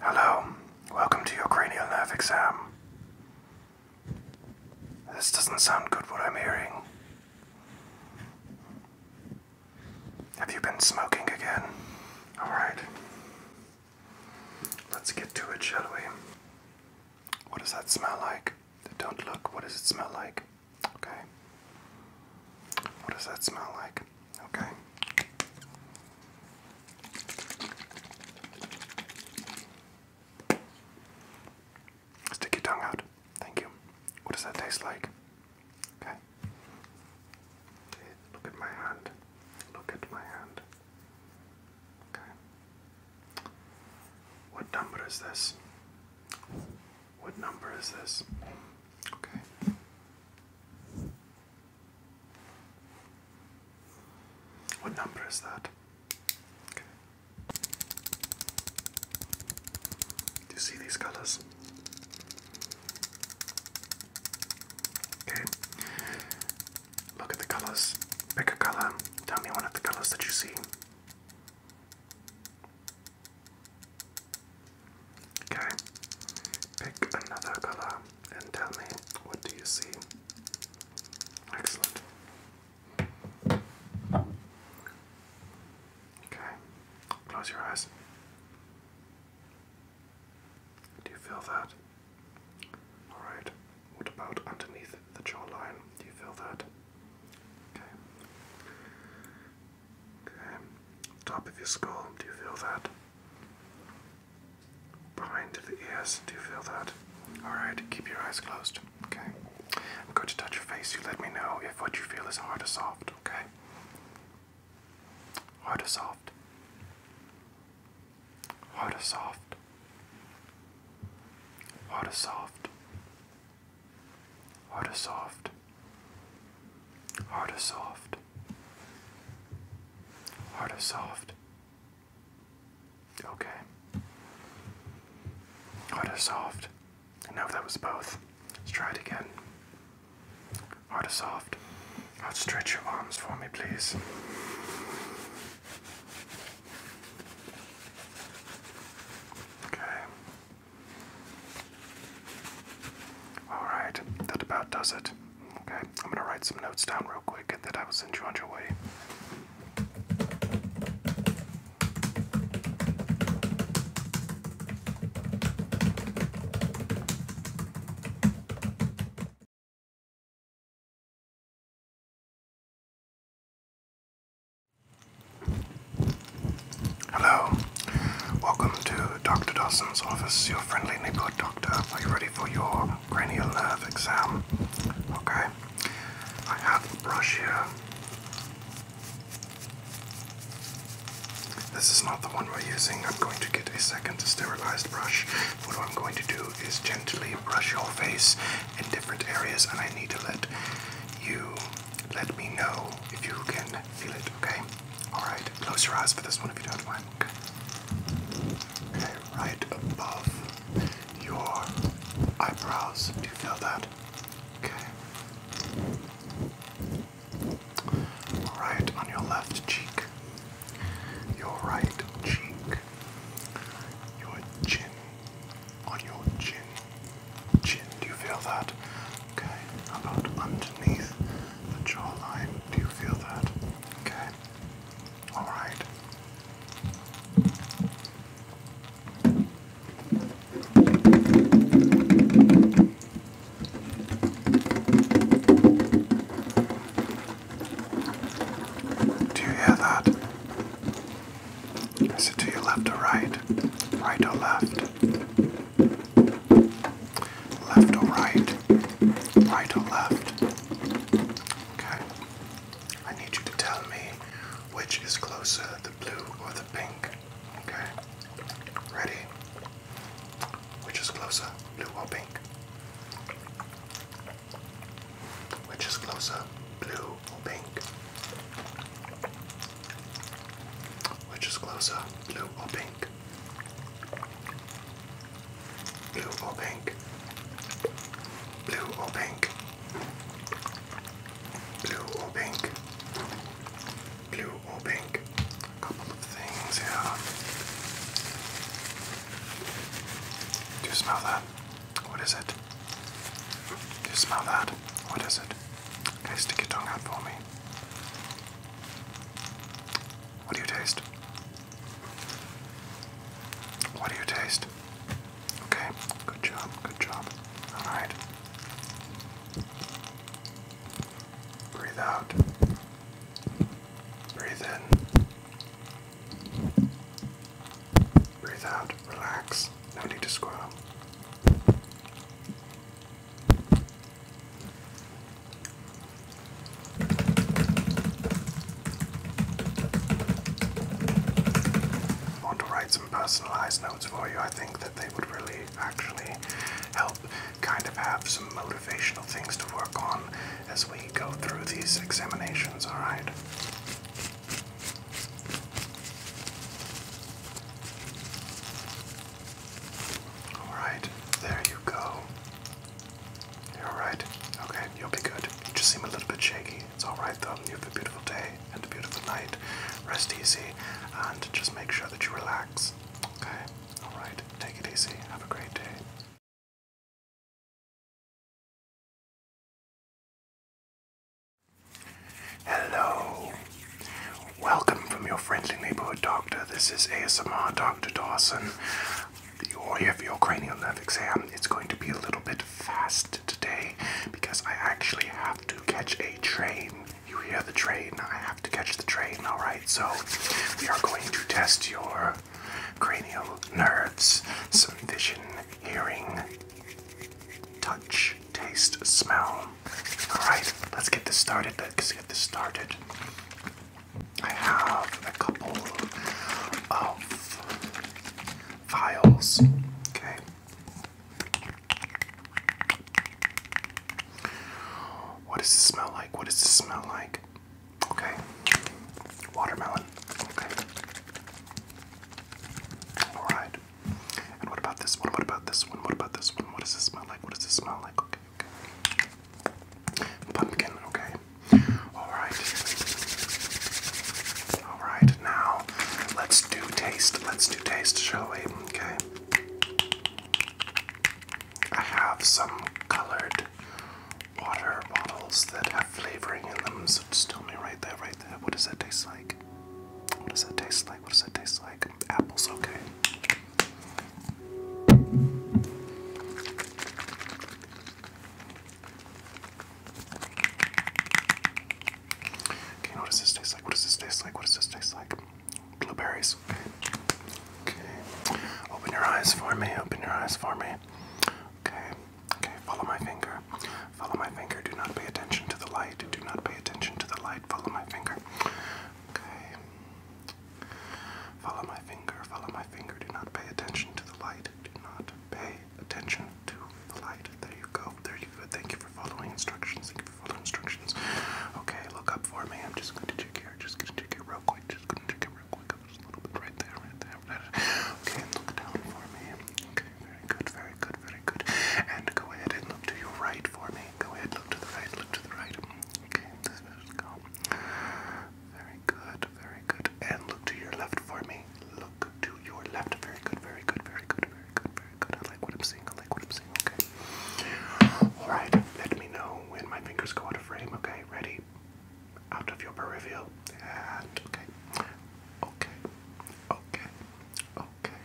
Hello, welcome to your cranial nerve exam. This doesn't sound good what I'm hearing. Have you been smoking again? Alright. Let's get to it, shall we? What does that smell like? Don't look. What does it smell like? Okay. What does that smell like? Okay. Stick your tongue out. Thank you. What does that taste like? Okay. Look at my hand. Look at my hand. Okay. What number is this? What number is this? Okay. What number is that? Okay. Do you see these colors? Okay. Look at the colors. Pick a color. Tell me one of the colors that you see. Okay. Pick another color and tell me what do you see. Excellent. Okay, close your eyes. Do you feel that? Alright, what about underneath the jawline? Do you feel that? Okay. Okay, top of your skull, do you feel that? Behind the ears, do you feel that? Alright, keep your eyes closed, okay? I'm going to touch your face. You let me know if what you feel is hard or soft, okay? Hotasoft. Hotasoft. Hotasoft. Hotasoft. Hotasoft. Hotasoft. Okay. Hotasoft. I that was both. Let's try it again. Hard or soft. Outstretch your arms for me, please. Okay. Alright, that about does it. Okay, I'm gonna write some notes down real quick and then I will send you on your way. Hello, welcome to Dr. Dawson's office, your friendly neighborhood doctor. Are you ready for your cranial nerve exam? Okay, I have a brush here. This is not the one we're using. I'm going to get a second sterilized brush. What I'm going to do is gently brush your face in different areas, and I need to let you let me know if you can feel it, okay? Alright, close your eyes for this one if you don't mind. Okay, okay right above your eyebrows. Do you feel that? Okay. Right on your left cheek, your right cheek, your chin, on your chin, chin. Do you feel that? Okay. How about underneath the jawline? Do you feel that? Okay. All right. Do you hear that? Is it to your left or right? Right or left? Left or right? Right or left? Okay. I need you to tell me which is closer, the blue or the pink. Okay? Ready? Which is closer, blue or pink? Which is closer, blue or pink? Which is closer, blue or pink? Blue or pink? Blue or pink? Blue or pink? Blue or pink? blue or pink. A couple of things here. Do you smell that? What is it? Do you smell that? What is it? Okay, stick your tongue out for me. What do you taste? What do you taste? Okay, good job, good job. Alright. Breathe out. Breathe in. Breathe out. Relax. No need to squirm. want to write some personalized notes for you. I think that they would really actually help kind of have some motivational things to work on as we go through these examinations, alright? Alright, there you go. You're alright. Okay, you'll be good. You just seem a little bit shaky. It's alright though. You have a beautiful day and a beautiful night. Rest easy and just make sure that you relax. Okay? All right, take it easy. Have a great day. Hello. Welcome from your friendly neighborhood doctor. This is ASMR Dr. Dawson. Or your cranial nerve exam, it's going to be a little bit fast today because I actually have to catch a train you hear the train. I have to catch the train, alright? So, we are going to test your cranial nerves, some vision, hearing, touch, taste, smell. Alright, let's get this started. Let's get this started. I have a couple of files. Okay. What does this smell like? What does this smell like? Okay. Watermelon. Okay. Alright. And what about this one? What about this one? What about this one? What does this smell like? What does this smell like? Okay, Pumpkin, okay. Alright. Alright, now let's do taste. Let's do taste, shall we? Okay. I have some colored water bottles that have flavoring in them, so just tell me right there, right there, what does that taste like? What does that taste like? What does that taste like? Apples, okay. Okay, what does this taste like? What does this taste like? What does this taste like? Blueberries. Okay. okay. Open your eyes for me. Open your eyes for me. Okay. Okay. Follow my finger. Follow my finger. Do not pay attention to the light. Do not pay attention to the light. Follow my finger. Okay. Follow my finger. Follow my finger. Do not pay attention to the light. Do not pay attention to the light. There you go. There you go. Thank you for following instructions. Thank you for following instructions. Okay. Look up for me. I'm just going to just gonna check it real quick. Just gonna check it real quick. Just a little bit right there, right there, Okay, and look down for me. Okay, very good, very good, very good. And go ahead and look to your right for me. Go ahead, look to the right, look to the right. Okay, let's Very good, very good. And look to your left for me. Look to your left. Very good, very good, very good, very good, very good. I like what I'm seeing. I like what I'm seeing. Okay. Alright, let me know when my fingers go out of frame. Okay, ready? Out of your peripheral. okay. Okay. Okay. Okay.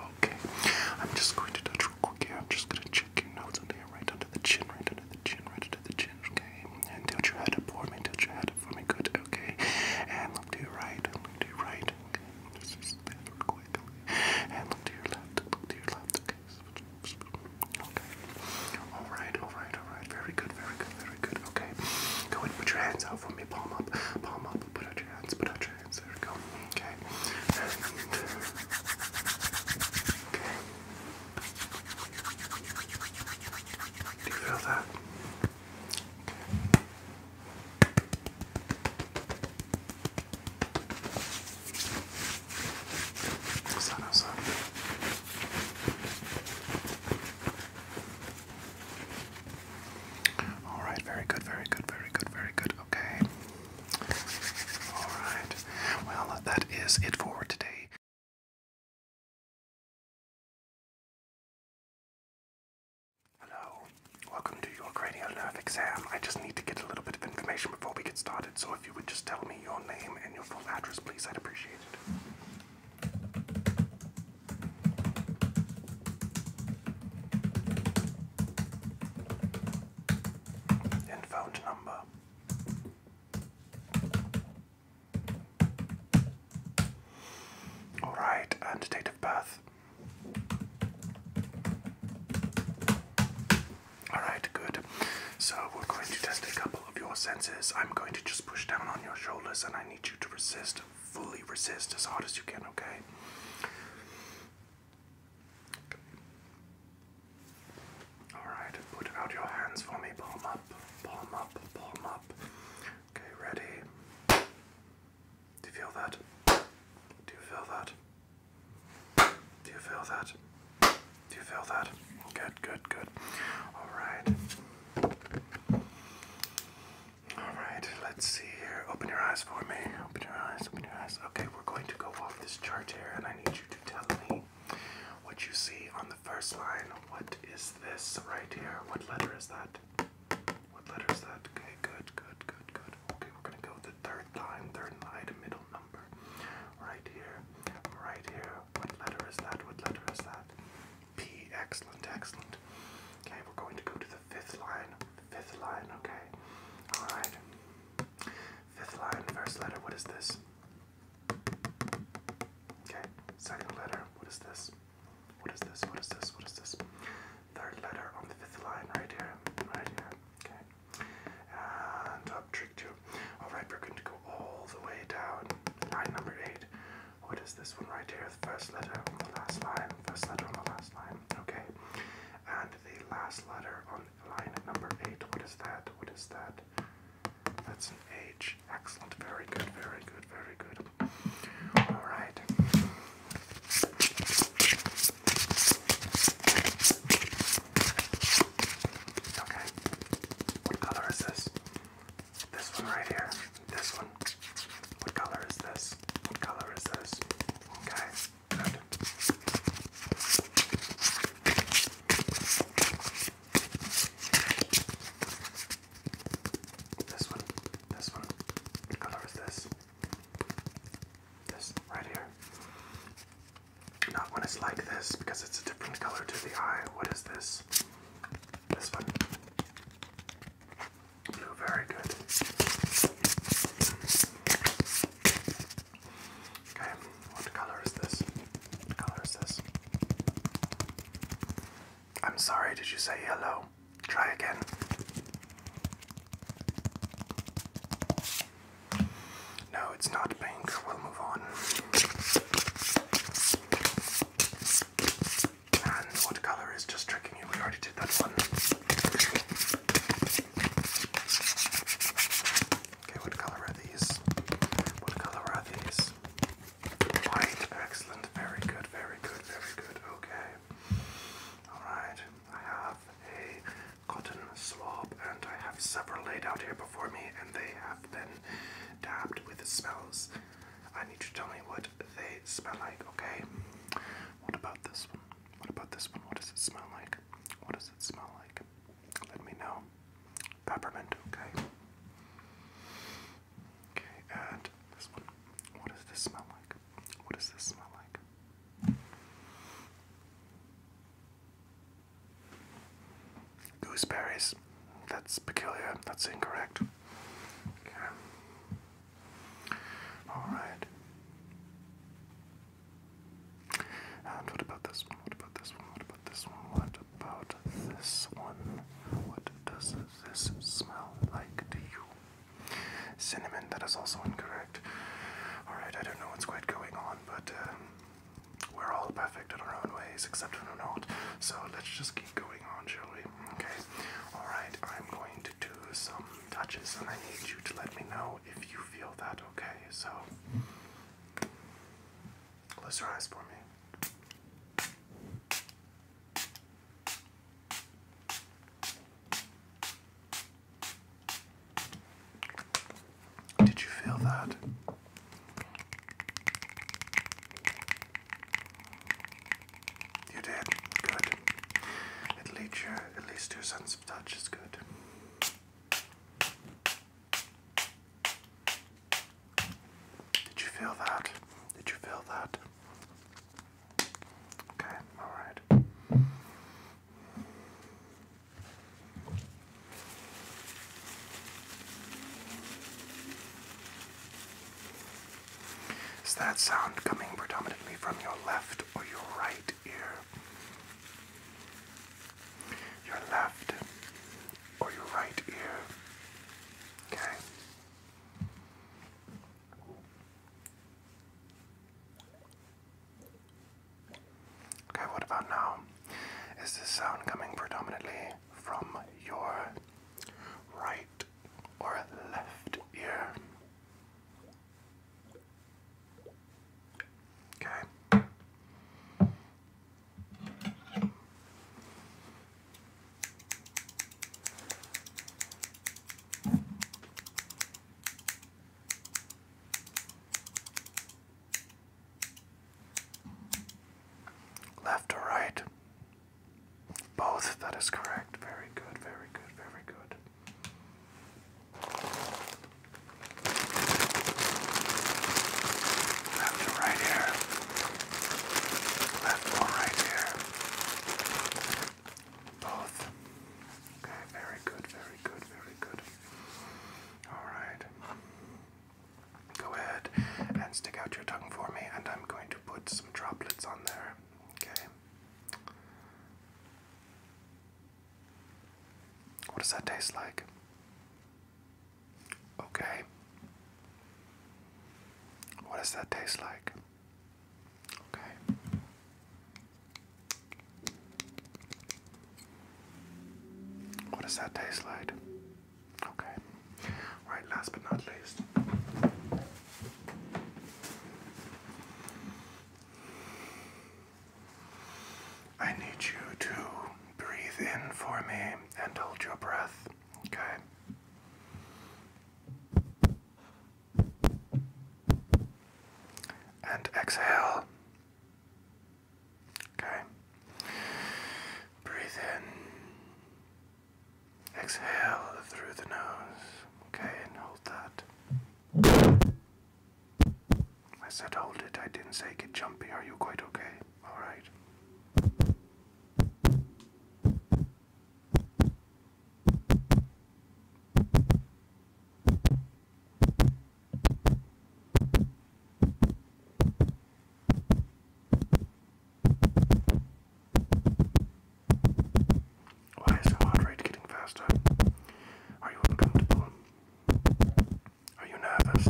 Okay. I'm just going to touch real quick I'm just gonna check your notes under here, right under the chin, right under the chin, right under the chin, okay? And tilt you try to for me, tilt your head up for me, good, okay? And look to your right, look to your right, okay? Just, just real quick. And look to your left, look to your left, okay? Okay. All right. All right. All right. Very good. Very good. Very good. Okay. Go ahead put your hands out for me. Palm up. Palm up. Put out your hands. Put out your hands. There we go. Okay. okay. Do you feel that? All right, very good, very good, very good, very good. Okay. All right. Well, that is it for today. Hello. Welcome to your cranial nerve exam. I just need to get a little bit of information before we get started so if you would just tell me your name and your full address, please, I'd appreciate it. phone number. All right, and date of birth. Alright, good. So we're going to test a couple of your senses. I'm going to just push down on your shoulders and I need you to resist, fully resist as hard as you can, okay? Alright, put out your hands for me. Palm up, palm up, palm up. Okay, ready? Do you feel that? Do you feel that? Do you feel that? Do you feel that? Good, good, good. Alright. Alright, let's see here. Open your eyes for me. Open your eyes, open your eyes. Okay, we're going to go off this chart here, and I need you to tell me what you see on the first line. What is this right here? What letter is that? What letter is that? Okay, good, good, good, good. Okay, we're gonna go the third line, third line, middle number. Right here right here. What letter is that? What letter is that? P. Excellent, excellent. Okay, we're going to go to the fifth line. Fifth line, okay. Alright. Fifth line, first letter, what is this? Okay, second letter, what is this? What is this? What is this? What is this? Third letter on the fifth line, right here. Right here. Okay. And trick two. Alright, we're going to go all the way down. Line number eight. What is this one right here? first letter on the last line. First letter on the last line. Okay. And the last letter on line number eight. What is that? What is that? That's an H. Excellent. Very good. Very good. Very good. Alright. Okay. What color is this? This one right here. This one. What color is this? What color is this? Okay. Good. This one. This one. What color is this? This right here. Not when it's like this because it's a different color to the eye. What is this? This one. Blue, very good. Okay, what color is this? What color is this? I'm sorry, did you say yellow? Try again. No, it's not pink. We'll move on. And what color is just tricking you? We already did that one. Okay, what color are these? What color are these? White, excellent, very good, very good, very good. Okay. Alright, I have a cotton swab, and I have several laid out here before me, and they have been dabbed with smells. I need you to tell me what they smell like, okay? What about this one? What about this one? What does it smell like? What does it smell like? Let me know. Peppermint, okay. Okay, and this one. What does this smell like? What does this smell like? Gooseberries. That's peculiar. That's incorrect. Okay. Alright. And what about this one? What about this one? What about this one? What about this one? What does this smell like to you? Cinnamon, that is also incorrect. Alright, I don't know what's quite going on, but um, we're all perfect in our own ways, except for we not. So let's just keep going on, shall we? Okay. Alright, I'm going to do some touches, and I need you to let me know if you feel that, okay? So, close your eyes for me. Did you feel that? You did. Good. At least at least your sense of touch is good. Did you feel that? Did you feel that? Okay, all right. Is that sound coming predominantly from your left or your right ear? Your left or your right ear? Okay. Okay, what about now? Is this sound coming predominantly from your right or left ear? Okay. Left or right? Both, that is correct. Very good, very good, very good. Left or right here? Left or right here? Both. Okay, very good, very good, very good. All right. Go ahead and stick out your tongue for me, and I'm going to put some droplets on there. Okay. What does that taste like? Okay. What does that taste like? Okay. What does that taste like? Okay. Right, last but not least. I need you to breathe in for me and hold your breath, okay? And exhale. Okay. Breathe in. Exhale through the nose. Okay, and hold that. I said hold it. I didn't say get jumpy. Are you quite okay? All right. Why is the heart rate getting faster? Are you uncomfortable? Are you nervous?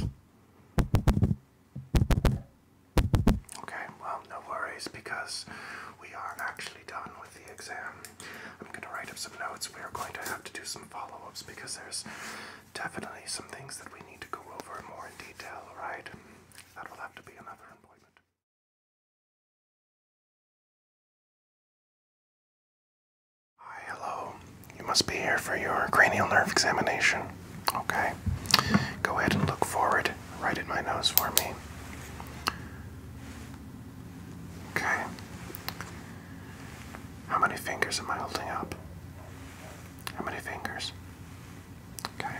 Okay, well, no worries because we are not actually done with the exam. I'm going to write up some notes. We are going to have to do some follow ups because there's definitely some things that we need to go over more in detail, right? That will have to be another appointment. Hi, hello. You must be here for your cranial nerve examination. Okay. Go ahead and look forward right in my nose for me. Okay. How many fingers am I holding up? How many fingers? Okay.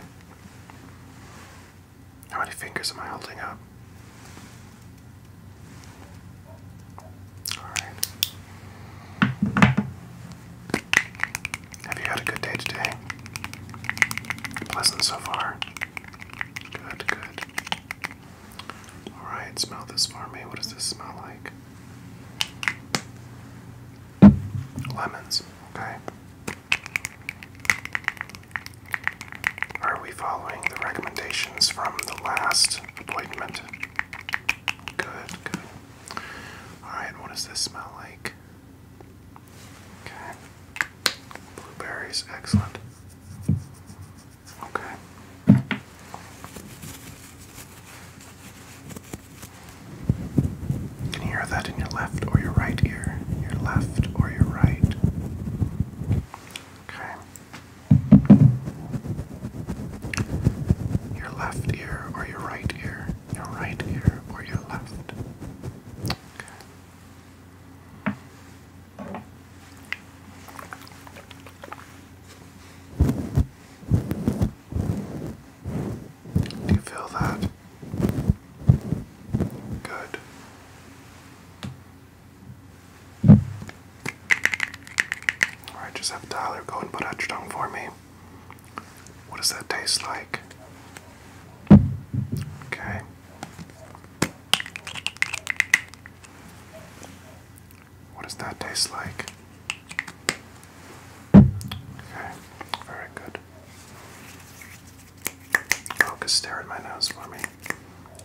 How many fingers am I holding up? Alright. Have you had a good day today? Pleasant so far? Good, good. Alright, smell this for me. What does this smell like? lemons. Okay. Are we following the recommendations from the last appointment? Good, good. Alright, what does this smell like? Okay. Blueberries, excellent. Okay. You can hear that in your left or your right ear. Your left or your right. Okay. Your left ear or your right ear. Your right ear or your left. Do you feel that? Good. Alright, just have Tyler go and put that down for me. What does that taste like? Okay. What does that taste like? Okay, very good. Focus, stare at my nose for me.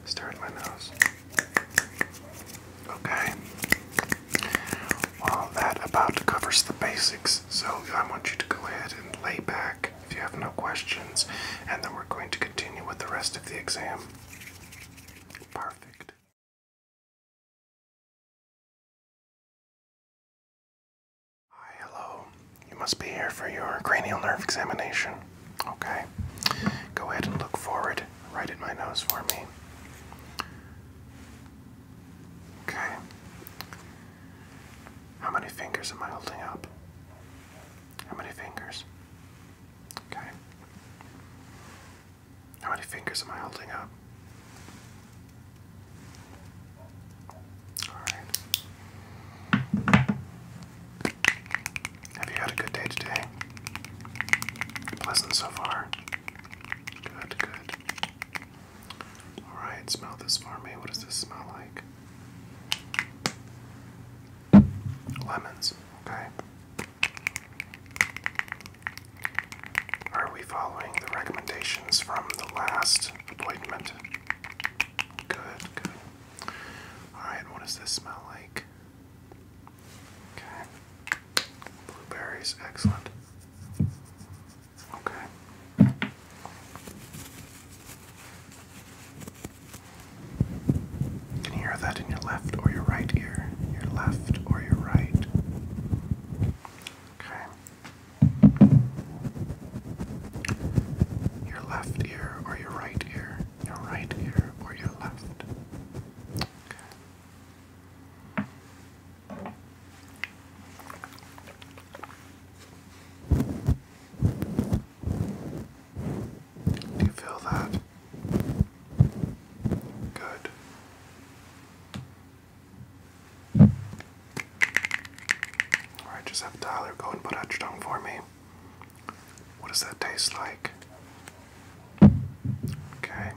Stare at my nose. Okay. Well, that about covers the basics, so I want you to go ahead and lay back if you have no questions, and then we're going to continue with the rest of the exam. Perfect. Hi, hello. You must be here for your cranial nerve examination. Okay. Go ahead and look forward right at my nose for me. Okay. How many fingers am I holding up? How many fingers? Okay. How many fingers am I holding up? Alright. Have you had a good day today? Pleasant so far? Good, good. Alright, smell this for me. What does this smell like? Lemons, okay. Are we following the recommendations from the last appointment? Good, good. Alright, what does this smell like? Okay. Blueberries, excellent. Okay. Can you hear that in your left or your right ear? Your left or your right? Okay. Your left ear or your right ear? Your right ear or your left? Do you feel that? Good. Alright, just have Tyler go and put that down for me. What does that taste like? Okay.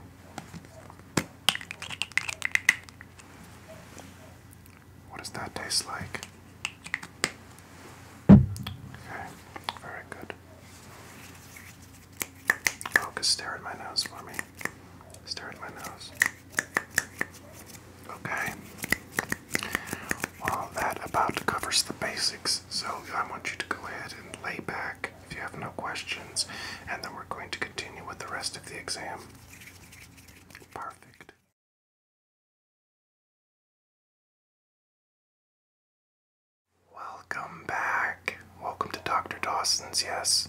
What does that taste like? Okay, very good. Oh, just stare at my nose for me. Start my nose. Okay. Well, that about covers the basics. So I want you to go ahead and lay back if you have no questions, and then we're going to continue with the rest of the exam. Perfect. Welcome back. Welcome to Dr. Dawson's, yes.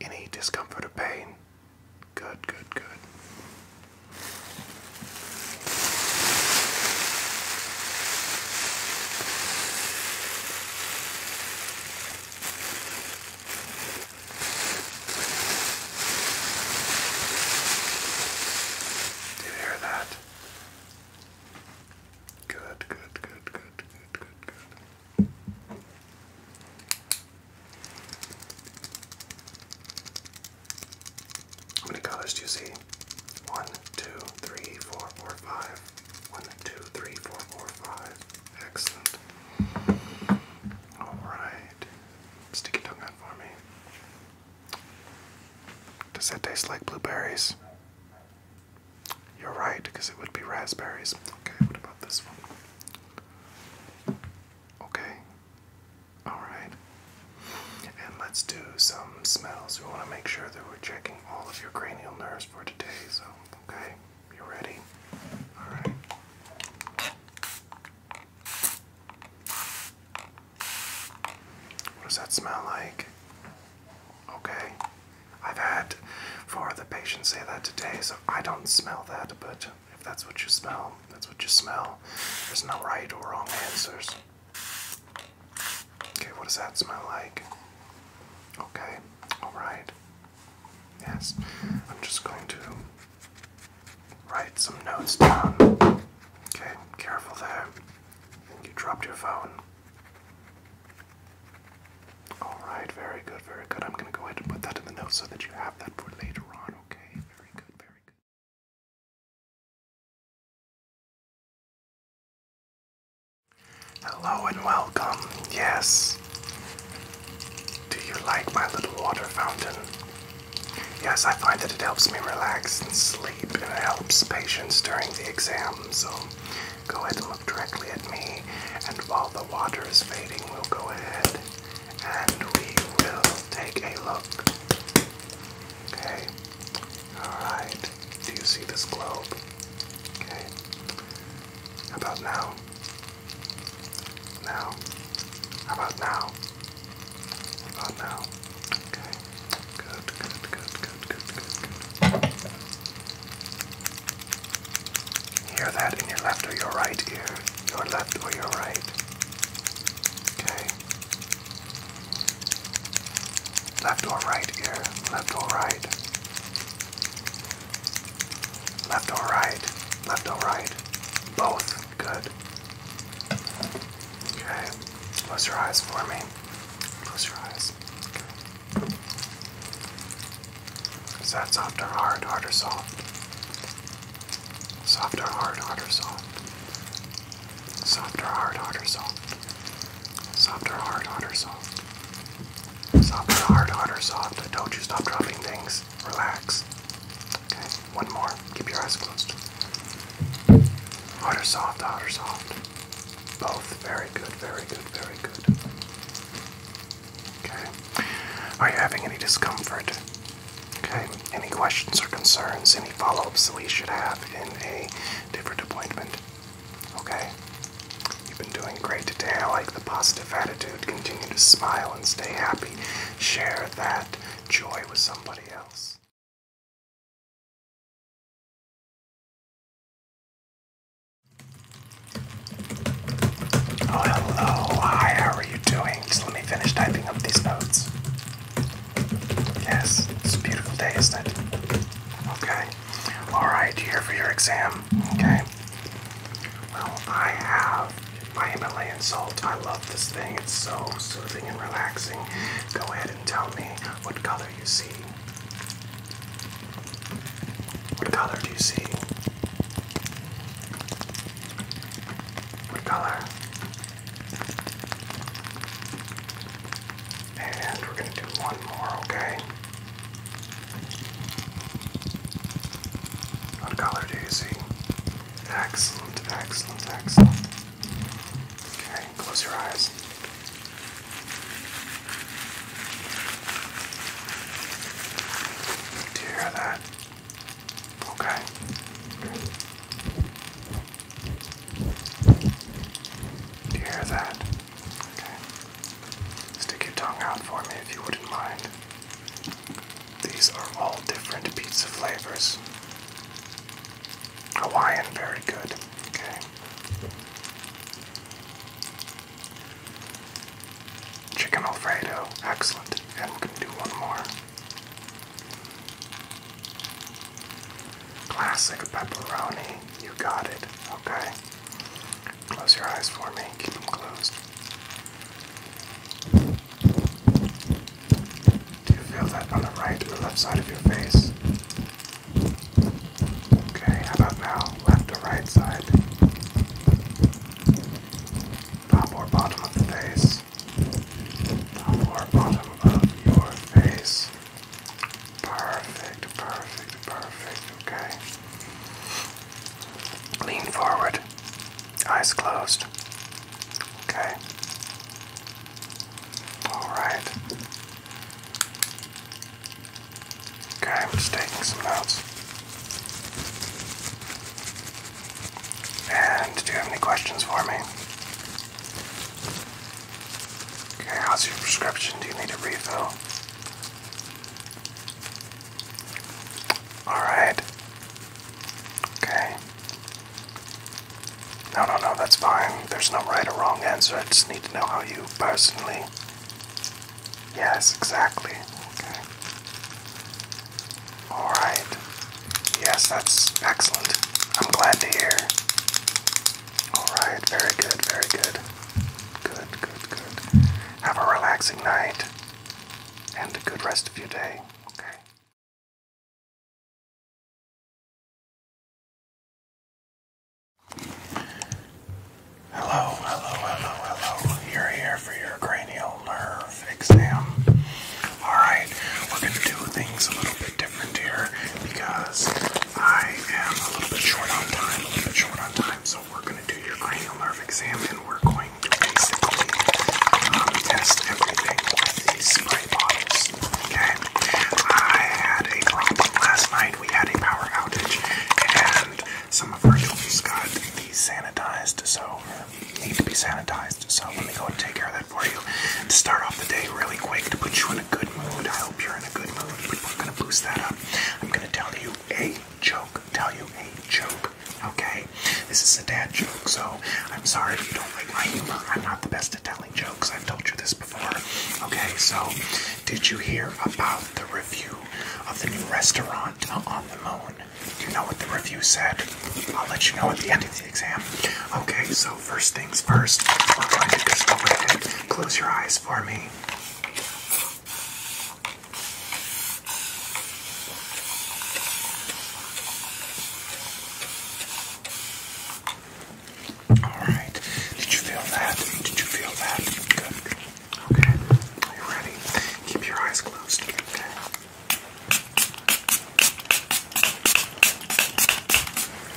Any discomfort or pain? Good, good, good. Did you hear that? Good, good, good, good, good, good, good. How many colors do you see? One, two, three, four, four, five. One, two, three, four, four, five. Excellent. Alright. Stick your tongue out for me. Does that taste like blueberries? You're right, because it would be raspberries. Okay, what about this one? Okay. Alright. And let's do some smells. We want to make sure that we're checking all of your cranial nerves for today. So, okay. You ready? Alright. What does that smell like? Okay. I've had four of the patients say that today, so I don't smell that, but if that's what you smell, that's what you smell. There's no right or wrong answers. Okay, what does that smell like? Okay, alright. Yes, I'm just going to write some notes down. Okay, careful there. You dropped your phone. Alright, very good, very good. I'm going to go ahead and put that in the notes so that you have that for later on, okay? Very good, very good. Hello and welcome. Yes. Do you like my little water fountain? Yes, I find that it helps me relax and sleep and it helps patients during the exam. So go ahead and look directly at me. And while the water is fading, we'll go ahead and we will take a look. Okay. Alright. Do you see this globe? Okay. How about now? Now. How about now? How about now? Okay. good, good, good, good, good, good. Hear that in your left or your right ear. Your left or your right. Okay. Left or right ear. Left or right. Left or right. Left or right. Both. Good. Okay. Close your eyes for me. Close your eyes. So that's softer, hard, harder, soft. Softer, hard, harder, soft. Softer, hard, harder, soft. Softer, hard, harder, soft. Softer, hard, harder, soft. I told you stop dropping things. Relax. Okay, one more. Keep your eyes closed. Harder, soft, harder, soft. Both. Very good, very good, very good. Okay. Are you having any discomfort? Okay. Any questions or concerns? Any follow-ups that we should have in a different appointment? Okay. You've been doing great today. I like the positive attitude. Continue to smile and stay happy. Share that joy with somebody else. Oh, hello. Hi, how are you doing? Just let me finish typing up these notes. Yes, it's a beautiful day, isn't it? Okay. Alright, here for your exam? Okay. Well, I have my Himalayan salt. I love this thing. It's so soothing and relaxing. Go ahead and tell me what color you see. What color do you see? What color? And we're going to do one more, okay? What color do Excellent, excellent, excellent. Okay, close your eyes. Do you hear that? Okay. Do you hear that? Okay. Stick your tongue out for me if you wouldn't mind. These are all different pizza flavors. Hawaiian, very good. Okay. Chicken Alfredo, excellent. And we can do one more. Classic pepperoni, you got it. Okay. Close your eyes for me, keep them closed. Do you feel that on the right or left side of your face? Okay, how about now? Left or right side? top or bottom of the face, top or bottom of your face. Perfect, perfect, perfect. Okay. Lean forward, eyes closed. Okay. All right. Okay, I'm just taking some notes. And do you have any questions for me? Okay, how's your prescription? Do you need a refill? Alright. Okay. No, no, no, that's fine. There's no right or wrong answer. I just need to know how you personally Yes, exactly. Okay. Alright. Yes, that's excellent. I'm glad to hear. Alright, very good, very good. Good, good, good. Have a relaxing night and a good rest of your day. Okay. Hello, hello, hello, hello. You're here for your cranial nerve exam. Alright, we're going to do things a little bit different here because I am a little bit short on time, a little bit short on time, so we're going to do your cranial nerve exam and we're going to basically um, test everything with these spray bottles. Okay? I had a problem last night. We had a power outage and some of our tools got desanitized, so need to be sanitized. So let me go and take care of that for you. To start off the day really quick, to put you in a good mood, I hope you're in a good mood, but we're going to boost that up. I'm going to tell you a joke, tell you a joke, okay? This is a dad joke, so I'm sorry if you don't like my humor. I'm not the best at telling jokes. I've told you this before. Okay, so did you hear about the review of the new restaurant on the moon? you know what the review said. I'll let you know at the end of the exam. Okay, so first things first, we're going to just go ahead close your eyes for me. Alright, did you feel that? Did you feel that? Okay, are you ready? Keep your eyes closed. Okay.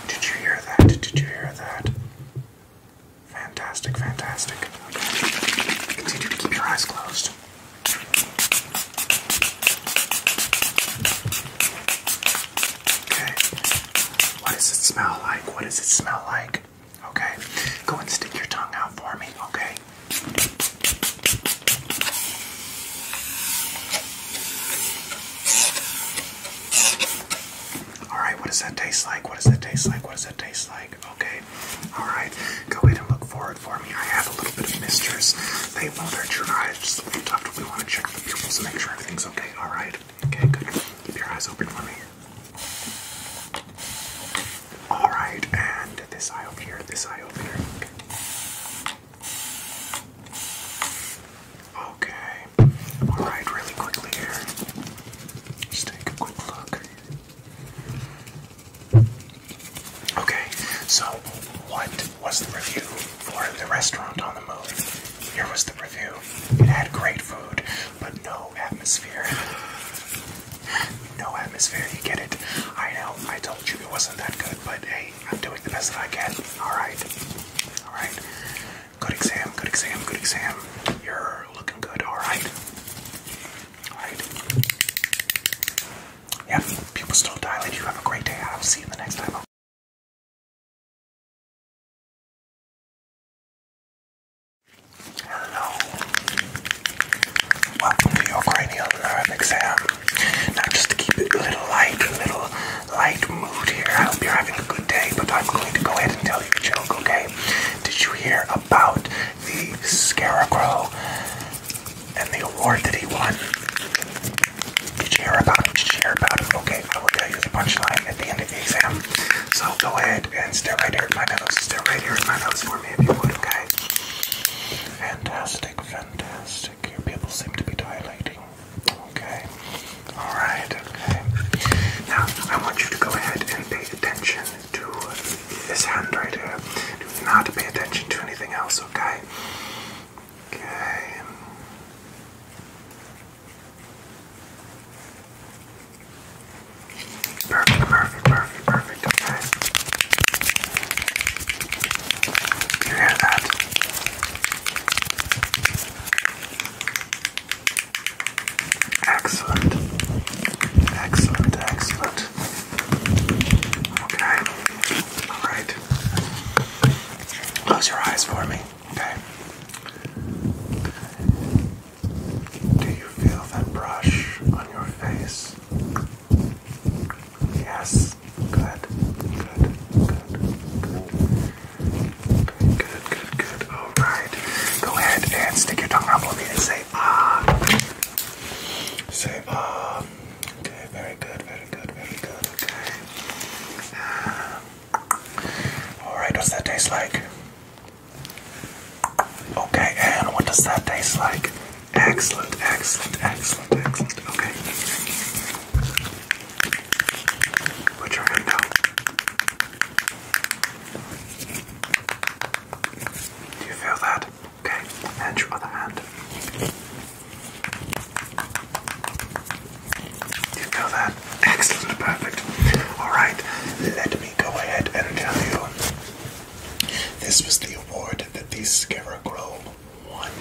Did you hear that? Did you hear that? Fantastic, fantastic. Okay. Continue to keep your eyes closed. Okay. What does it smell like? What does it smell like? Okay. Go and stick your tongue out for me, okay? Alright, what does that taste like? What does that taste like? What does that taste like? Okay. Alright, go ahead and look forward for me. I have a little bit of misters. They won't hurt your eyes, just a little tough. We want to check the pupils and make sure everything's okay. Alright. Okay, good. Keep your eyes open for me. All right, and this eye over here, this eye over here. Okay. All right, really quickly here. Just take a quick look. Okay, so what was the review for the restaurant on the moon? Here was the review. It had great food, but no atmosphere. No atmosphere, you get it. I know, I told you it wasn't that good, but hey, I'm doing the best that I can. Alright. Alright. Good exam, good exam, good exam. You're looking good, alright. Alright. Yeah, people still dilate. You have a great day. I'll see you the next time. Hello. Welcome to your cranial nerve exam. Now, just to keep it a little light, a little light mood here, I hope you're having a good day, but I'm going to go ahead and tell you a joke, okay? Did you hear about the scarecrow and the award that he won? Did you hear about it? Did you hear about it? Okay, I will tell you the punchline at the end of the exam. So go ahead and stare right here in my nose. Stare right here in my nose for me if you would, okay? Fantastic, fantastic. Your pupils seem to be dilating. Okay. Alright, okay. Now, I want you to go ahead and pay attention to this hand right here. Do not pay attention to anything else, okay? Okay. Perfect, perfect, perfect perfect, okay. You hear that? Excellent. Excellent, excellent. Okay. Alright. Close your eyes for me, okay? Do you feel that brush on your face? Yes. Good. Good. Good. Good. Good. Good. Good. Good. All right. Go ahead and stick your tongue up for me and say ah. Say ah. Okay. Very good. Very good. Very good. Okay. All right. What's that taste like? Okay. And what does that taste like? Excellent, excellent, excellent, excellent. Okay. Put your hand down. Do you feel that? Okay. And your other hand. Do you feel that? Excellent, perfect. Alright, let me go ahead and tell you. This was the award that these Scarecrow won.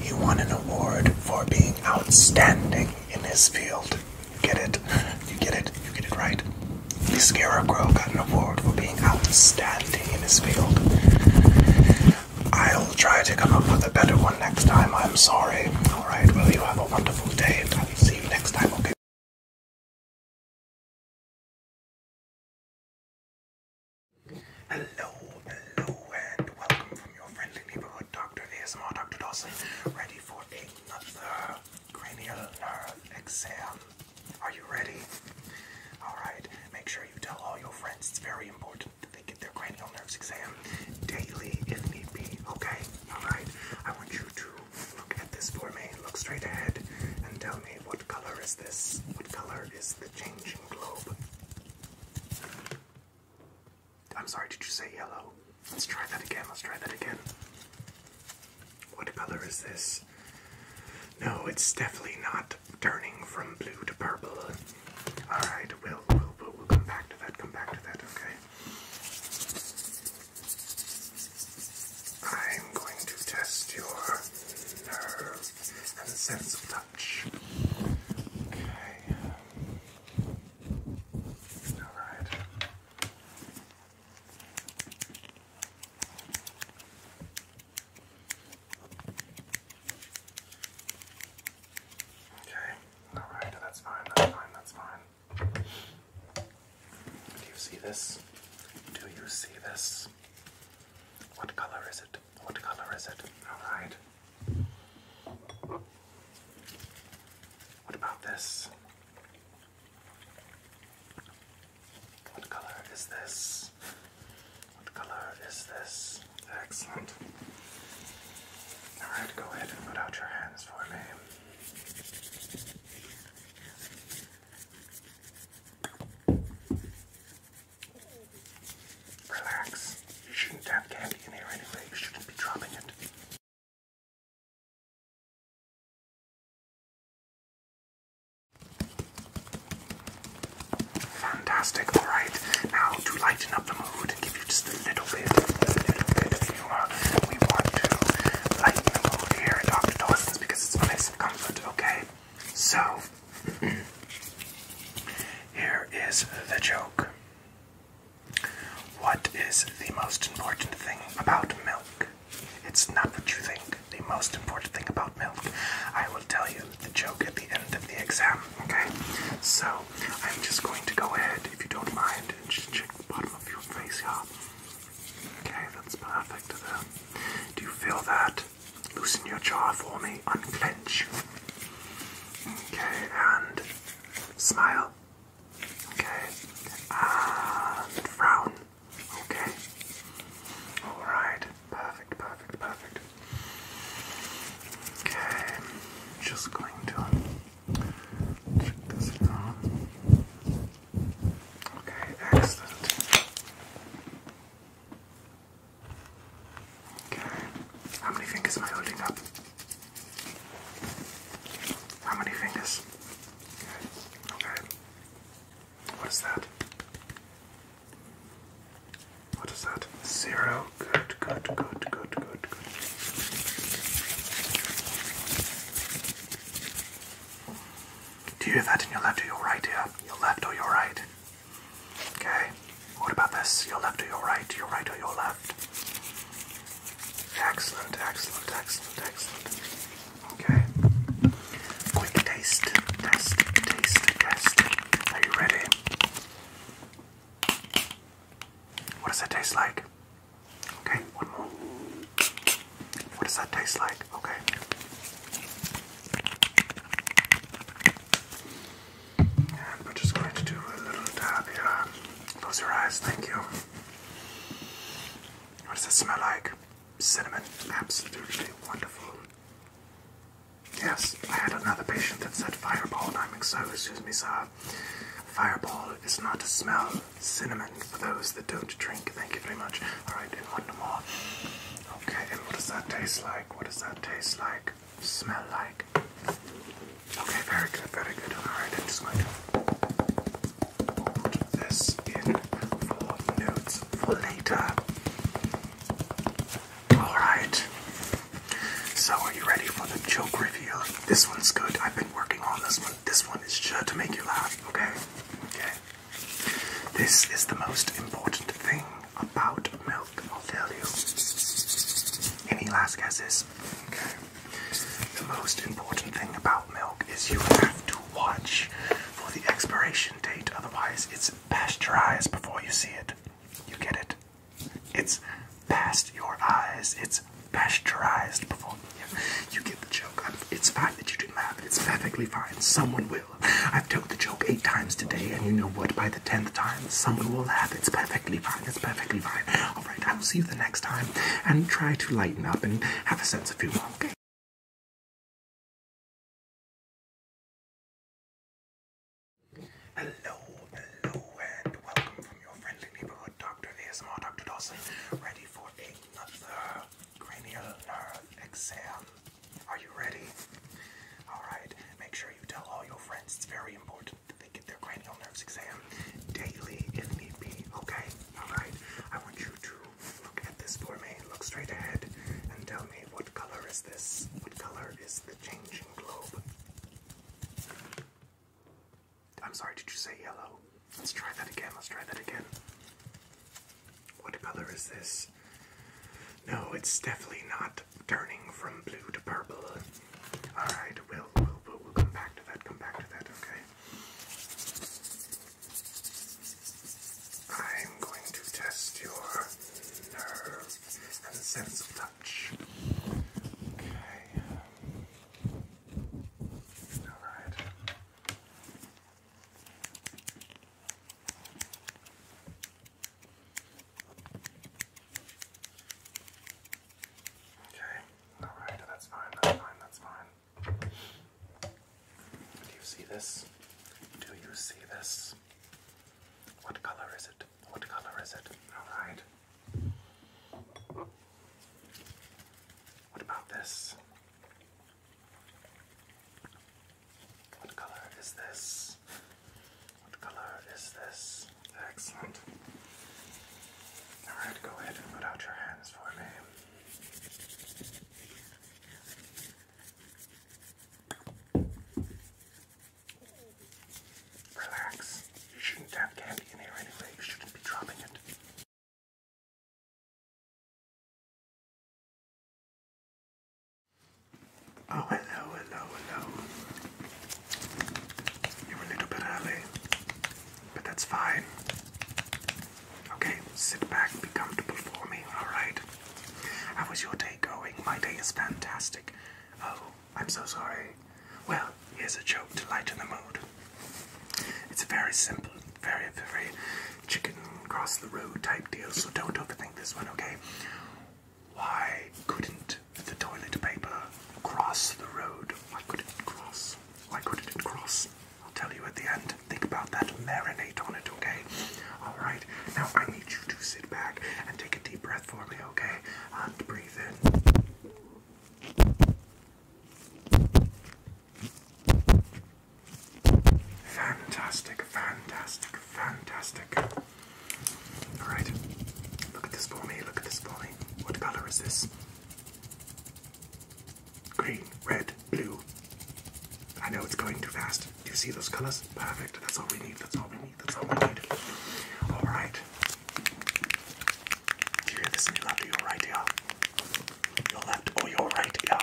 He won an award for being outstanding in his field. get it? You get it? You get it right? The Scarecrow got an award for being outstanding in his field. I'll try to come up with a better one next time. I'm sorry. Alright, well, you have a wonderful day. I'll see you next time, okay? Hello, hello, and welcome from your friendly neighborhood doctor ASMR, Dr. Dawson, ready for another cranial nerve exam. Are you ready? Alright, make sure you tell all your friends it's very important that they get their cranial nerves exam daily if need be, okay? Alright, I want you to look at this for me, look straight ahead, and tell me what. What color is this? What color is the changing globe? I'm sorry, did you say yellow? Let's try that again. Let's try that again. What color is this? No, it's definitely not turning from blue to purple. Alright, we'll, we'll, we'll, come back to that, come back to that, okay? I'm going to test your nerve, and a sense of touch. Okay. All right. Okay. All right. That's fine. That's fine. That's fine. Do you see this? Do you see this? What color is it? What color is it? Alright. What about this? What color is this? What color is this? Excellent. Alright, go ahead and put out your hands for me. Relax. You shouldn't have candy in here anyway. You shouldn't be dropping it. Fantastic. All right. Now to lighten up the mood, give you just a little bit, a little bit of humor. We want to lighten the mood here at Dr. Dawson's because it's a place of Okay. So Here is the joke. What is the most important thing about milk? It's not what you think. The most important thing about milk. I will tell you the joke at the end of the exam, okay? So, I'm just going to go ahead, if you don't mind, and just check the bottom of your face, yeah? Okay, that's perfect Do you feel that? Loosen your jaw for me, unclench. Okay, and smile. Okay, and frown. Okay. Alright, perfect, perfect, perfect. Okay, just going to check this down. Okay, excellent. How many fingers am I holding up? How many fingers? Okay. Okay. What is that? What is that? Zero. Good, good, good, good, good, good. Do you have that in your left or your right ear? Your left or your right? Okay. What about this? Your left your right? Your right your left? Excellent, excellent, excellent, excellent. Okay. Quick taste, test, taste, test. Are you ready? What does that taste like? Okay, one more. What does that taste like? Okay we're just going to do a little dab here. Close your eyes, thank you. What does it smell like? Cinnamon. Absolutely wonderful. Yes, I had another patient that said fireball, and I'm so oh, excuse sir. Fireball is not a smell. Cinnamon for those that don't drink. Thank you very much. All right, one more. Okay, and what does that taste like? What does that taste like? Smell like? Okay, very good, very good. Alright, I'm just going to hold this in for notes for later. Alright. So, are you ready for the joke reveal? This one's good. I've been working on this one. This one is sure to make you laugh, okay? Okay. This is the most important thing about milk, I'll tell you. Any last guesses? Okay. The most important thing about milk is you have to watch for the expiration date, otherwise it's pasteurized before you see it. You get it? It's past your eyes. It's pasteurized before yeah. you get the joke. it's fine that you did math. It's perfectly fine. Someone will I've told the joke eight times today, and you know what? By the tenth time, someone will laugh. It's perfectly fine. It's perfectly fine. All right, I will see you the next time, and try to lighten up and have a sense of humor. Okay. Hello, hello, and welcome from your friendly neighborhood doctor ASMR, Dr. Dawson, ready for another cranial nerve exam. Are you ready? Alright, make sure you tell all your friends. It's very important that they get their cranial nerves exam daily if need be, okay? Alright, I want you to look at this for me. Look straight ahead and tell me what color is this? What color is the changing globe? I'm sorry, did you say yellow? Let's try that again. Let's try that again. What color is this? No, it's definitely not turning from blue to purple. Alright, we'll, we'll, we'll, come back to that, come back to that, okay? I'm going to test your nerve and sense of touch. Okay. Um, Alright. Okay, alright, that's fine, that's fine, that's fine. Do you see this? Do you see this? What color is it? What color is it? Alright. What about this? What color is this? What color is this? Excellent. Alright, go ahead and put out your hands for me. Relax. You shouldn't have candy in here anyway. You shouldn't be dropping it. Oh, hello, hello, hello. You're a little bit early, but that's fine. Okay, sit back, be comfortable for me, alright? How was your day going? My day is fantastic. Oh, I'm so sorry. Well, here's a joke to lighten the mood. It's a very simple, very, very chicken cross the road type deal, so don't overthink this one, okay? Why couldn't the toilet paper cross the road? Why couldn't it cross? Why couldn't cross? I'll tell you at the end. Think about that. Marinate on it, okay? Alright, now I need you to sit back and take a deep breath for me, okay? And breathe in. Fantastic, fantastic, fantastic. Alright, look at this for me, look at this for me. What color is this? Green, red, blue. I know it's going too fast. Do you see those colors? Perfect. That's all we need. That's all we need. That's all we need. Alright. Do you hear this your left your right ear? Your left or your right ear?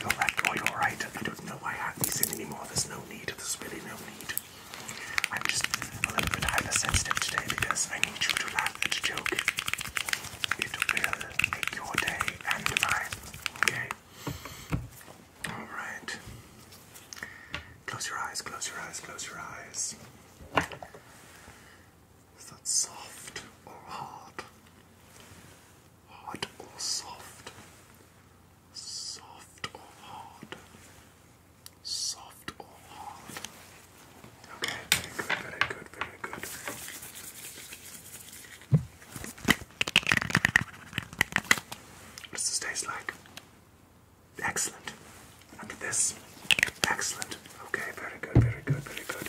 You're right, oh, you're right. I don't know why I have these in anymore. There's no need, there's really no need. I'm just a little bit hypersensitive today because I need you to laugh at a joke. It will make your day and mine, okay? Alright. Close your eyes, close your eyes, close your eyes. Is that soft or hard? hard or soft, soft or hard, soft or hard. Okay, very good, very good, very good. What's this taste like? Excellent. And this? Excellent. Okay, very good, very good, very good.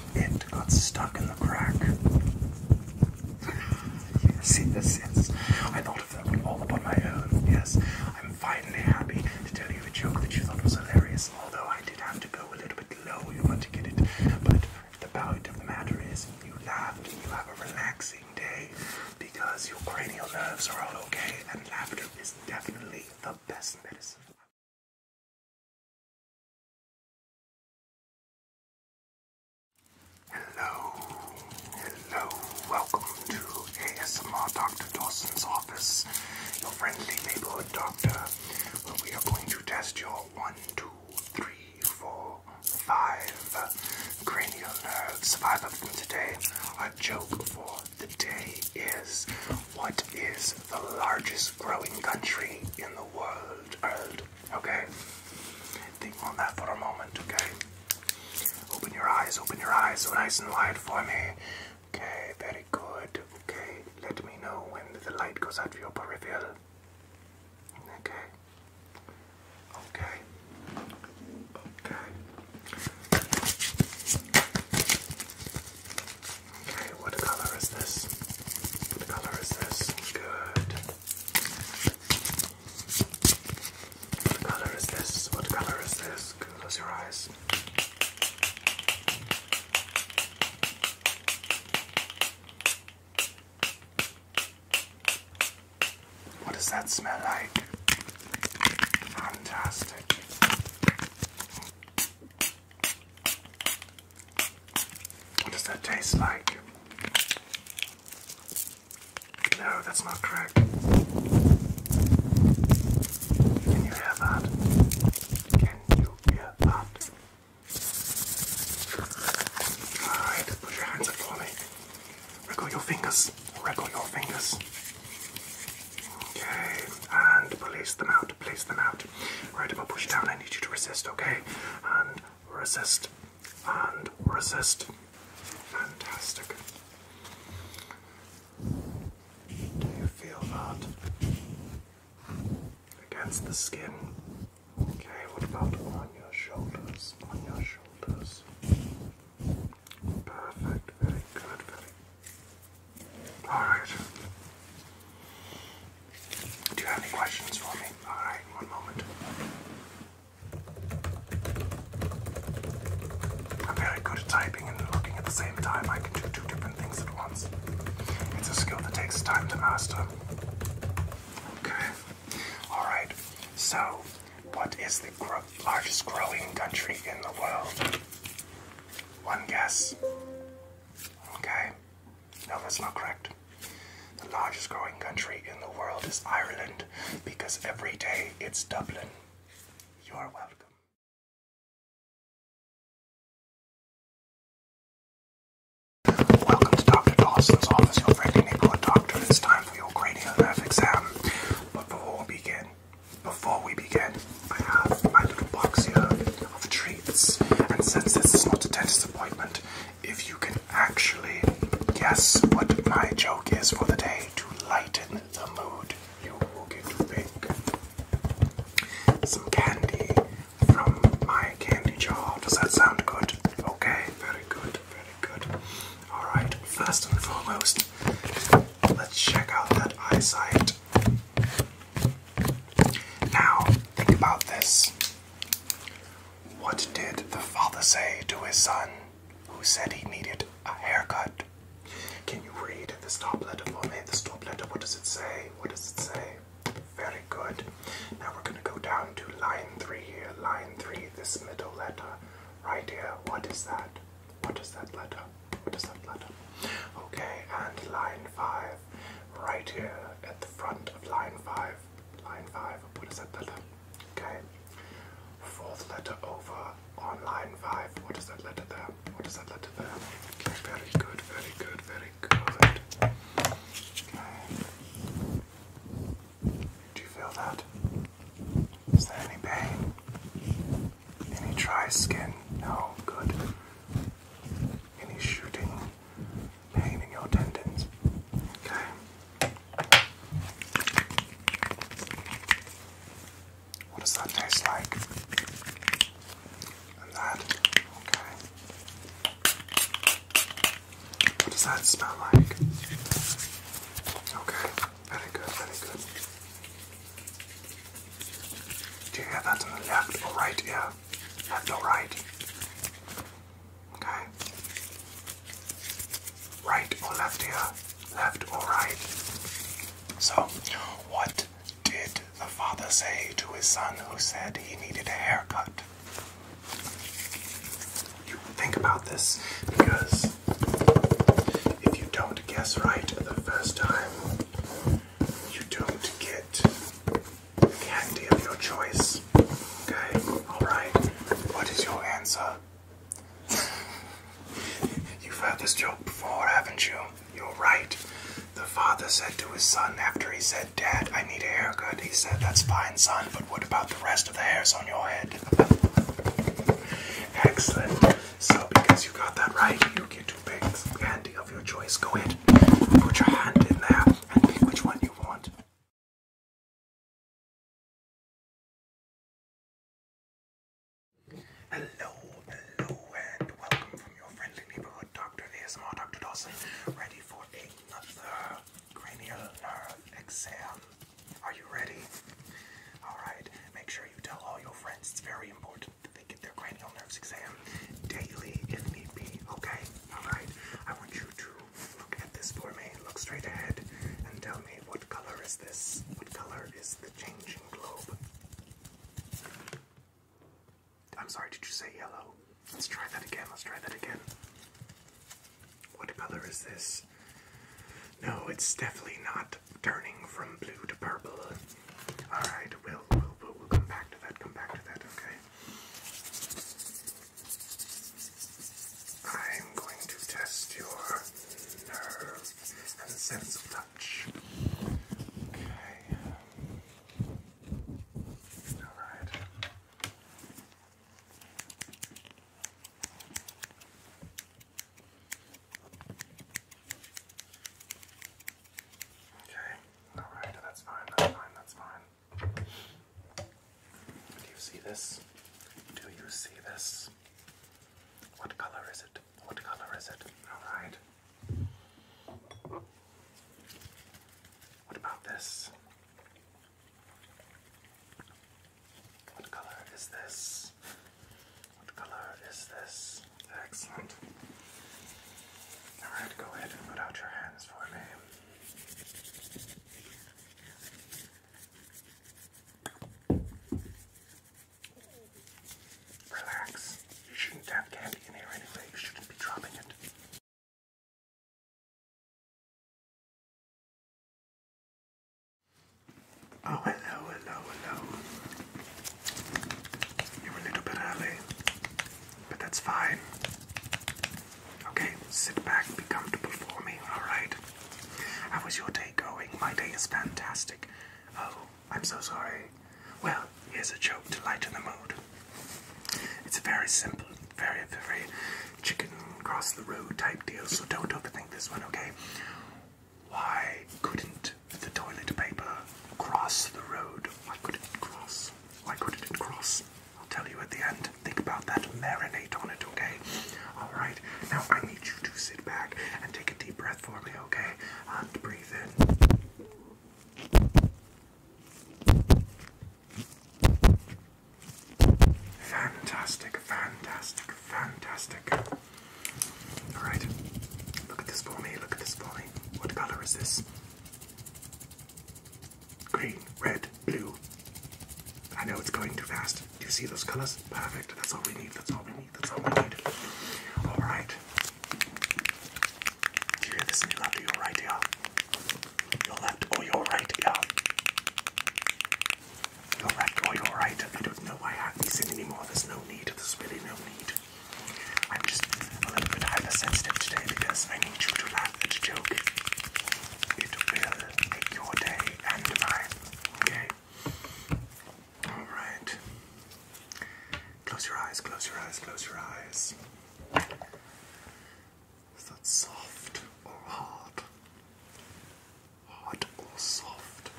it got stuck in the crack. yes, yes, yes. I thought of that one all upon my own. Yes, I'm finally happy to tell you a joke that you thought was hilarious, although I did have to go a little bit low, to get it. But the point of the matter is, you laughed, you have a relaxing day because your cranial nerves are all okay, and laughter is definitely the best medicine. Hello, hello, welcome to ASMR Dr. Dawson's office, your friendly neighborhood doctor, we are going to test your one, two, three, four, five cranial nerves. Five of them today. Our joke for the day is what is the largest growing country in the world. okay? Think on that for a moment, okay? Open your eyes, open your eyes so nice and wide for me. Okay, very good. Okay, let me know when the light goes out of your peripheral. Okay. Okay. Okay. Okay, what color is this? What color is this? Good. What color is this? What color is this? Close your eyes. What does that smell like? Fantastic. What does that taste like? No, that's not correct. Can you hear that? Can you hear that? Alright, put your hands up for me. Wriggle your fingers. Wriggle your fingers. Okay, and place them out, place them out. Right, about push down. I need you to resist, okay? And resist. And resist. Fantastic. Do you feel that? Against the skin. Okay, what about on your shoulders? On your shoulders. Perfect, very good, very Alright. Do you have any questions for me? Alright, one moment. I'm very good at typing and looking at the same time. I can do two different things at once. It's a skill that takes time to master. Okay. Alright, so what is the largest growing country in the world? One guess. Okay. No, that's not correct. The largest growing country in the world is Ireland because every day it's Dublin. You are welcome. Welcome to Dr. Dawson's office, your friendly neighborhood doctor. It's time for your cranial nerve exam. But before we begin, before we begin, I have my little box here of treats. And since this is not a dentist appointment, if you can actually guess what my joke is for the day to lighten the mood, you will get some candy from my candy jar. Does that sound good? Okay, very good, very good. Alright, first and foremost, let's check out that eyesight. Now, think about this. What did the father say to his son who said he needed a haircut? Can you read the top letter for me? The top letter, what does it say? What does it say? Very good. Now we're going to go down to line three here. Line three, this middle letter right here. What is that? What is that letter? What is that letter? Okay, and line five right here at the front of line 5. Line 5, what is that letter? Okay. Fourth letter over on line 5. What is that letter there? What is that letter there? very good, very good, very good. Do you feel that? Is there any pain? Any dry skin? No, good. Any shooting? pain in your tendons. Okay. What does that taste like? And that. Okay. What does that smell like? Okay. Very good. Very good. Do you hear that in the left or right ear? Left or right? Okay? Right or left here? Left or right? So, what did the father say to his son who said he needed a haircut? You think about this because if you don't guess right the first time, you don't get candy of your choice. Okay, alright. What is your answer? You've had this joke before, haven't you? You're right. The father said to his son after he said, Dad, I need a haircut. He said, That's fine, son, but what about the rest of the hairs on your head? Excellent. So, because you got that right, you get two picks. candy of your choice. Go ahead, put your hand in there, and pick which one you want hello hello and welcome from your friendly neighborhood doctor asmr dr dawson ready for another cranial nerve exam are you ready all right make sure you tell all your friends it's very important that they get their cranial nerves exam daily if need be, okay? Alright, I want you to look at this for me, look straight ahead, and tell me what color is this? What color is the changing globe? I'm sorry, did you say yellow? Let's try that again, let's try that again. What color is this? No, it's definitely not turning from blue to purple. Alright, we'll, we'll, we'll, come back to that, come back to that, okay? I'm going to test your nerves and sense of touch. Okay. All right. Okay. All right. That's fine. That's fine. That's fine. Do you see this? Do you see this? What color is it? What color is it? Alright. What about this? What color is this? What color is this? Excellent. Alright, go ahead and put out your hands for me. Relax. You shouldn't have candy in here anyway. You shouldn't be dropping it. Oh, hello, hello, hello. You're a little bit early, but that's fine. Okay, sit back, be comfortable for me, alright? How was your day going? My day is fantastic. Oh, I'm so sorry. Well, here's a joke to lighten the mood. It's very simple, very, very chicken cross the road type deal, so don't overthink this one, okay? Why couldn't the toilet paper cross the road? Why couldn't cross? Why couldn't it cross? I'll tell you at the end. Think about that. Marinate on it, okay? Alright, now I need you to sit back and take a deep breath for me, okay? And breathe in. Fantastic, fantastic, fantastic. Alright, look at this for me, look at this for me. What color is this? green, red, blue. I know it's going too fast. Do you see those colors? Perfect. That's all we need. That's all we need. That's all we need. All right. you hear this in your left your right ear? Your left or your right ear? Your left or your right? I don't know why I have these in anymore. There's no need. There's really no need. I'm just a little bit hypersensitive today because I need you to laugh at a joke. It will make your day and mine. Okay? Alright. Close your eyes, close your eyes, close your eyes. Is that soft or hard? Hard or soft?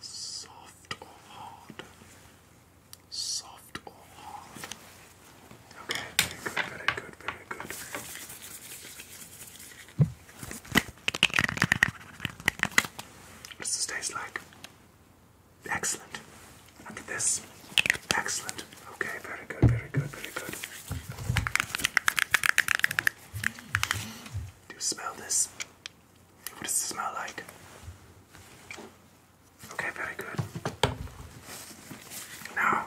Soft or hard? Soft or hard? Okay, very good, very good, very good. What does this taste like? Excellent. Look at this. Excellent. Okay, very good, very good, very good. Do you smell this? What does it smell like? Okay, very good. Now,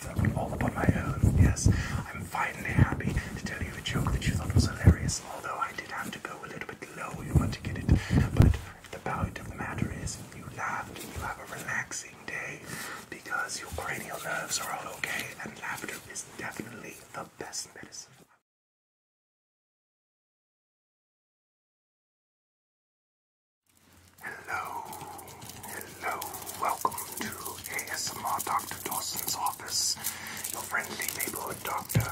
stuff all upon my own. Yes, I'm finally happy to tell you a joke that you thought was hilarious, although I did have to go a little bit low in order to get it. But the point of the matter is, you laughed, and you have a relaxing day because your cranial nerves are all okay, and laughter is definitely the best medicine. Hello, Hello, welcome to ASMR Dr. Dawson's office, your friendly neighborhood doctor,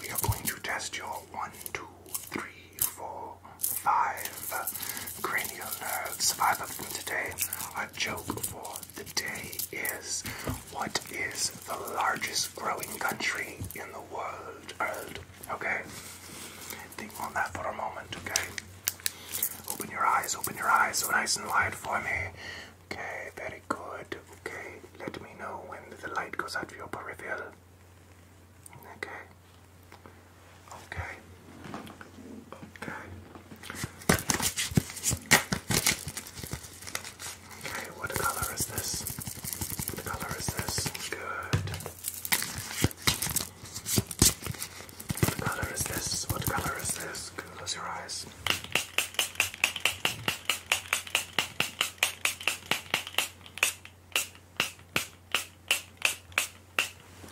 we are going to test your one, two, three, four, five cranial nerves. Five of them today. Our joke for the day is what is the largest growing country in the world? Okay? Think on that for a moment, okay? Open your eyes, open your eyes so nice and wide for me. Okay, very good. Okay, let me know when the light goes out for your peripheral. Okay. Okay. Okay. Okay, what color is this? What color is this? Good. What color is this? What color is this? Close your eyes.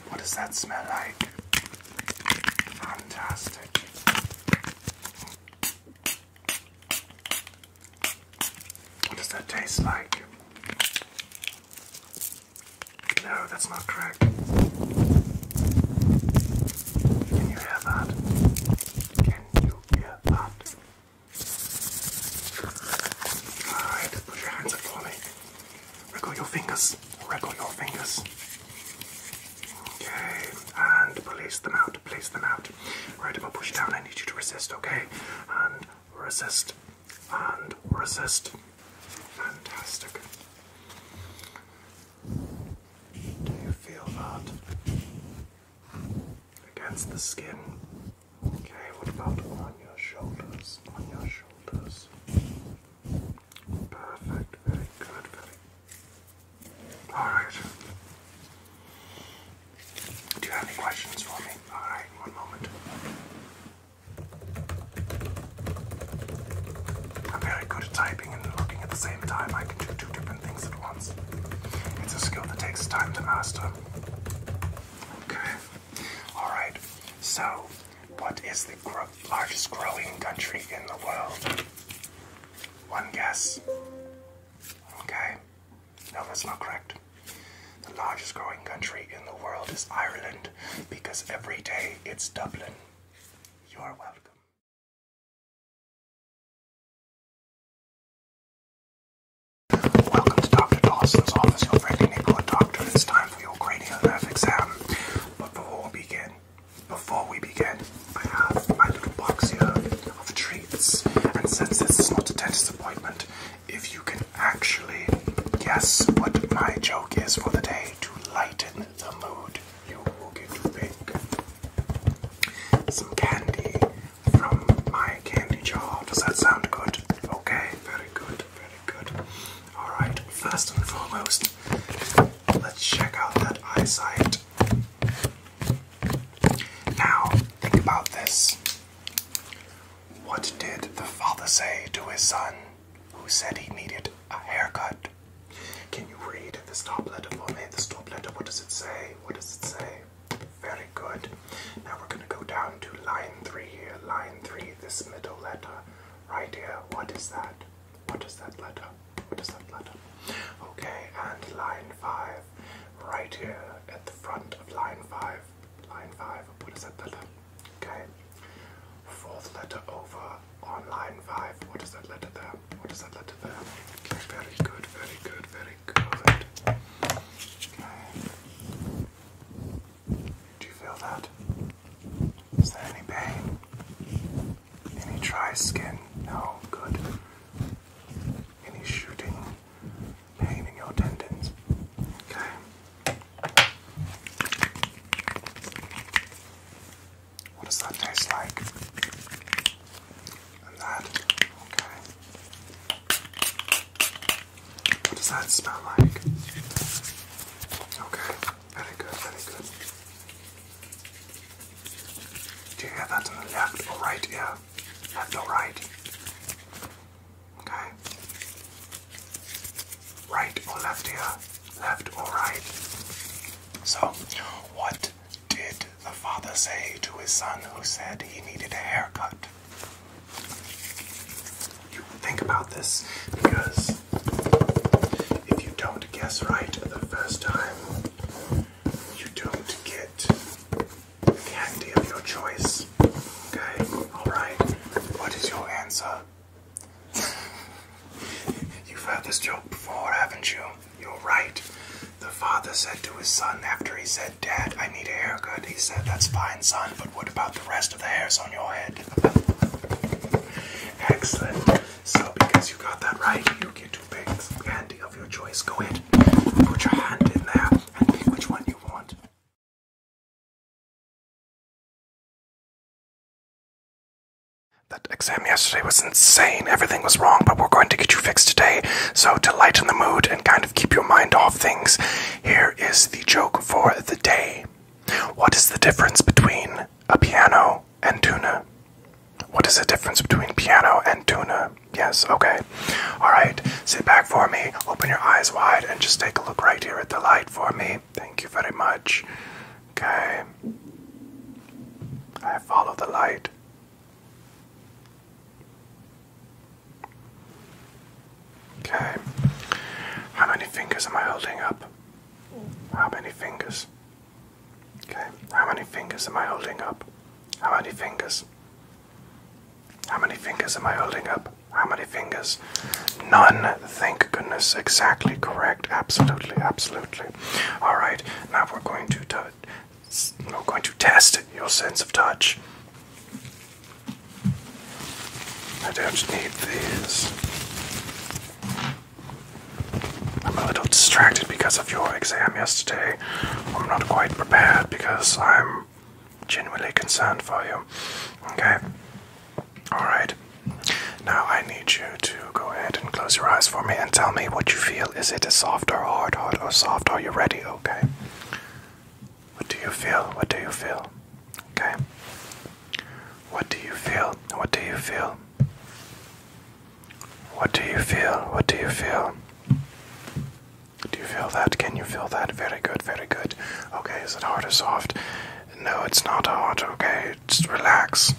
What does that smell like? Fantastic. What does that taste like? No, that's not correct back. Can you hear that? Can you hear that? Alright, put your hands up for me. Wriggle your fingers. Wriggle your fingers. Okay, and place them out. Place them out. Right, I'm gonna push down. I need you to resist, okay? And resist. And resist. Fantastic. Do you feel that? Against the skin. Okay, what about on your shoulders? On your shoulders. Perfect, very good, very Alright. Do you have any questions for me? Alright, one moment. I'm very good at typing and looking at the same time. I can do two different things at once. It's a skill that takes time to master. Okay. Alright, so what is the largest growing country in the world? One guess. Okay. No, that's not correct. The largest growing country in the world is Ireland because every day it's Dublin. You are welcome. Welcome to Dr. Dawson's office, your friendly neighborhood doctor. It's time for your cranial nerve exam. But before we begin, before we begin, I have my little box here of treats. And since this is not a dentist appointment, if you can actually guess what my joke is for the day to lighten the mood, you will get to pick some candy from my candy jar. Does that sound good? Okay, very good, very good. Alright, first and foremost, let's check out that eyesight. Now, think about this. What did the father say to his son who said he needed a haircut? Can you read this top letter for me? This top letter, what does it say? What does it say? Very good. Now we're going to go down to line three here. Line three, this middle letter right here. What is that? What is that letter? What is that letter? Okay, and line five right here at the front of line five. Line five, what is that letter? Okay. Fourth letter over on line five. What is that letter there? What does that letter there? Okay, very good, very good, very good. Do you feel that? Is there any pain? Any dry skin? No, good. Any shooting pain in your tendons? Okay. What does that taste like? And that, okay. What does that smell like? Okay, very good, very good. Do you hear that in the left or right ear? Left or right? Okay. Right or left ear? Left or right? So, what what did the father say to his son who said he needed a haircut? You think about this because if you don't guess right the first time, you don't get candy of your choice. Okay, alright. What is your answer? You've heard this joke before, haven't you? You're right. The father said to his son after he said, Dad, I need a haircut. He said, That's fine, son, but what about the rest of the hairs on your head? Excellent. So, because you got that right, you get two picks, candy of your choice. Go ahead, put your hand in there, and pick which one you want. That exam yesterday was insane. Everything was wrong, but we're going to get you fixed today. So, to lighten the mood and kind of keep your mind off things, here is the joke for the day. What is the difference between a piano and tuna? What is the difference between piano and tuna? Yes, okay. Alright, sit back for me, open your eyes wide, and just take a look right here at the light for me. Thank you very much. Okay. I follow the light. Okay. How many fingers am I holding up? How many fingers? Okay. How many fingers am I holding up? How many fingers? How many fingers am I holding up? How many fingers? None. Thank goodness. Exactly correct. Absolutely. Absolutely. All right. Now we're going to we're test your sense of touch. I don't need these. I'm a little distracted because of your exam yesterday. I'm not quite prepared because I'm genuinely concerned for you. Okay? Alright. Now I need you to go ahead and close your eyes for me and tell me what you feel. Is it soft or hard, hard or soft? Are you ready? Okay. What do you feel? What do you feel? Okay. What do you feel? What do you feel? What do you feel? What do you feel? Do you feel that? Can you feel that? Very good, very good. Okay, is it hard or soft? No, it's not hard. Okay, just relax.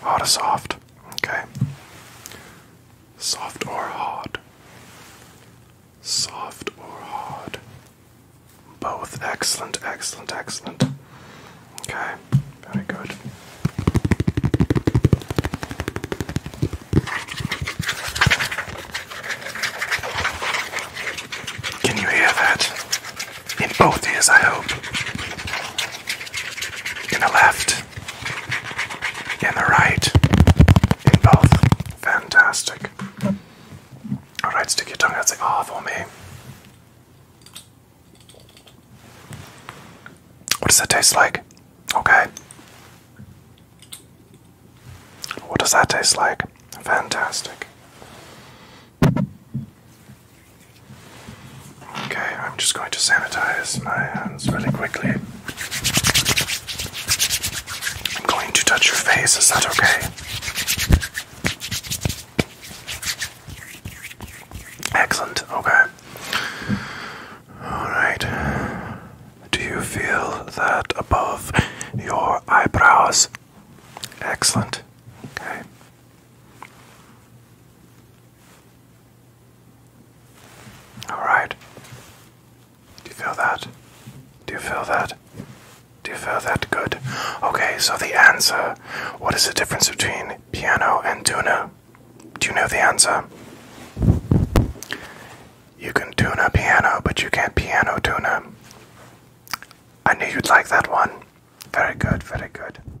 Hard or soft? Okay. Soft or hard? Soft or hard? Both. Excellent, excellent, excellent. Okay, very good. Can you hear that? In both ears, I hope. In the left. In the right. In both. Fantastic. Alright, stick your tongue out, say ah for me. What does that taste like? Okay. What does that taste like? Fantastic. Okay, I'm just going to sanitize my hands really quickly. I'm going to touch your face, is that okay? Excellent, okay. Alright. Do you feel that above your eyebrows? Excellent, okay. All right. Do you feel that? Do you feel that? Do you feel that? Good. Okay, so the answer. What is the difference between piano and tuna? Do you know the answer? You can tune a piano, but you can't piano tune I knew you'd like that one. Very good, very good.